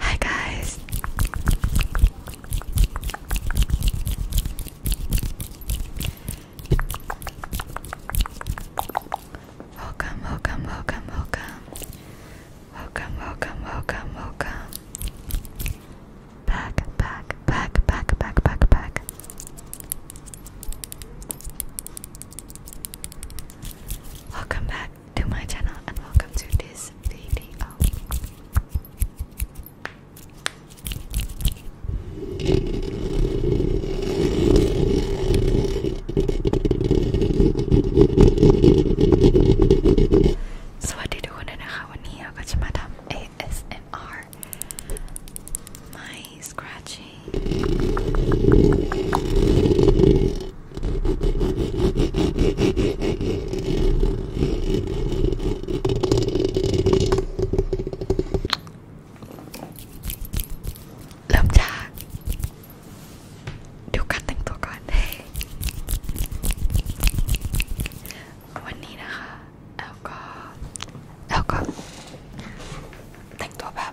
Hi guys. Welcome, welcome, welcome, welcome. Welcome, welcome, welcome, welcome. Back, back, back, back, back, back, back. Welcome back to my channel and welcome to this video. So what did you want to know how I got my ASMR? My scratching. เริ่มจากดูการแต่งตัวก่อนวันนี้นะคะแล้วก็แล้วก็แต่งตัวแบบ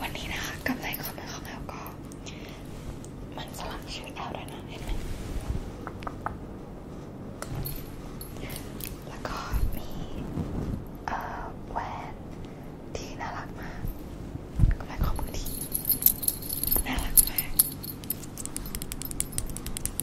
วันนี้นะคะกำไรข้อมือของแอลก็มันสลักชื่อแอลด้วยนะเห็นไหมแล้วก็มีเอ่อแหวนที่น่ารักมากกำไรข้อมือที่น่ารักมาก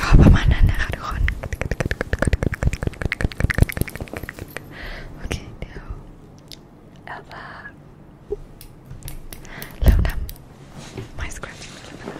ก็ประมาณนั้นนะคะทุกคนโอเคเดี๋ยวแอลลาเริ่มทำ My Scratching แล้วนะค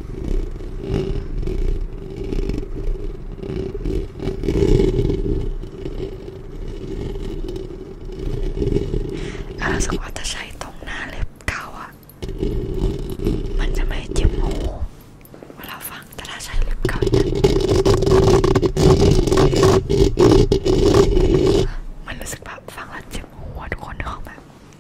อาสกว่าจะใช้ตรงหน้าเล็บเก่าอ่ะมันจะไม่เจ็บหูเวลาฟังแต่ถ้าใช้เล็บเก่าจะมันรู้สึกแบบฟังแล้วเจ็บหัวทุกคนนึกออกไหม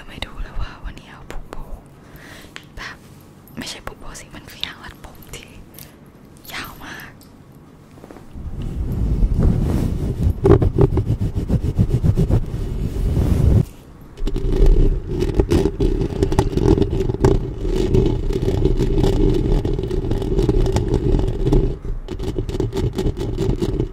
ลืมให้ดูเลยว่าวันนี้เอาปุกโบแบบไม่ใช่ปุกโบสิ มันคือยางรัดผมที่ยาวมาก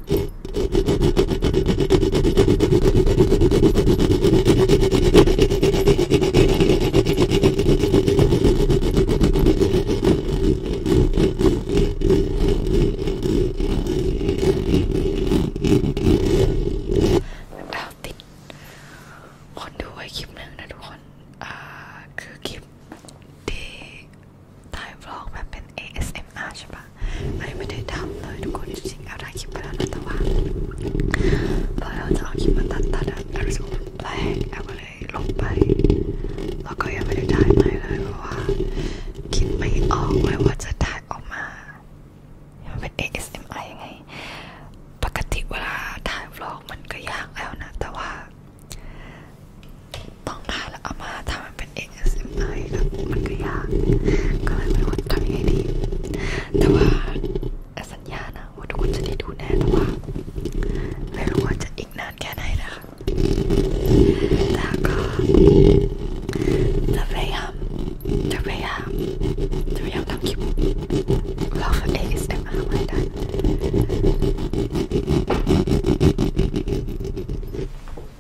ดาวติดคนดูไว้คลิปหนึ่งนะทุกคน อ่าคือคลิปที่ถ่ายบล็อกแบบเป็น ASMR ใช่ปะไอ้ไม่ได้ทำเลยทุกคนจริงๆเอาได้คลิปไปแล้วนะแต่ว่าพอเราจะเอาคลิปมาตัดตัดเรารู้สึกแปลกเอาก็เลยลงไป แล้วก็ยังไม่ได้ถ่ายใหม่เลยเพราะว่าคิดไม่ออกเลยว่าจะถ่ายออกมามันเป็น ASMR ยังไง ปกติเวลาถ่ายบล็อกมันก็ยากแล้วนะ แต่ว่าต้องถ่ายแล้วเอามาทำมันเป็น ASMR แล้วมันก็ยากก็เลยไม่รู้ว่าทำยังไงดี แต่ว่าสัญญานะว่าทุกคนจะได้ดูแน่แต่ว่าไม่รู้ว่าจะอีกนานแค่ไหนนะคะแล้วก็จะพยายามจะพยายามจะพยายามทำคลิปเราคือ ASMR ไม่ได้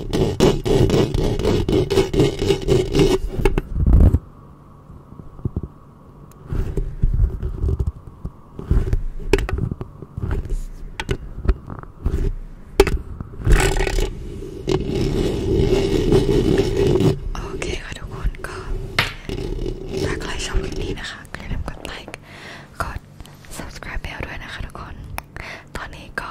โอเคค่ะทุกคนก็ถ้าใครชอบคลิปนี้นะคะก็อย่าลืมกดไลค์กด subscribe ด้วยนะคะทุกคน ตอนนี้ก็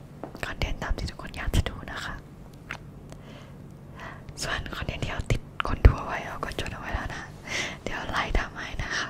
คอนเทนต์ตามที่ทุกคนอยากจะดูนะคะ ส่วนคอนเทนต์ที่เราติดคนดูไว้เราก็จดเอาไว้แล้วนะ เดี๋ยวไล่ทำให้นะคะ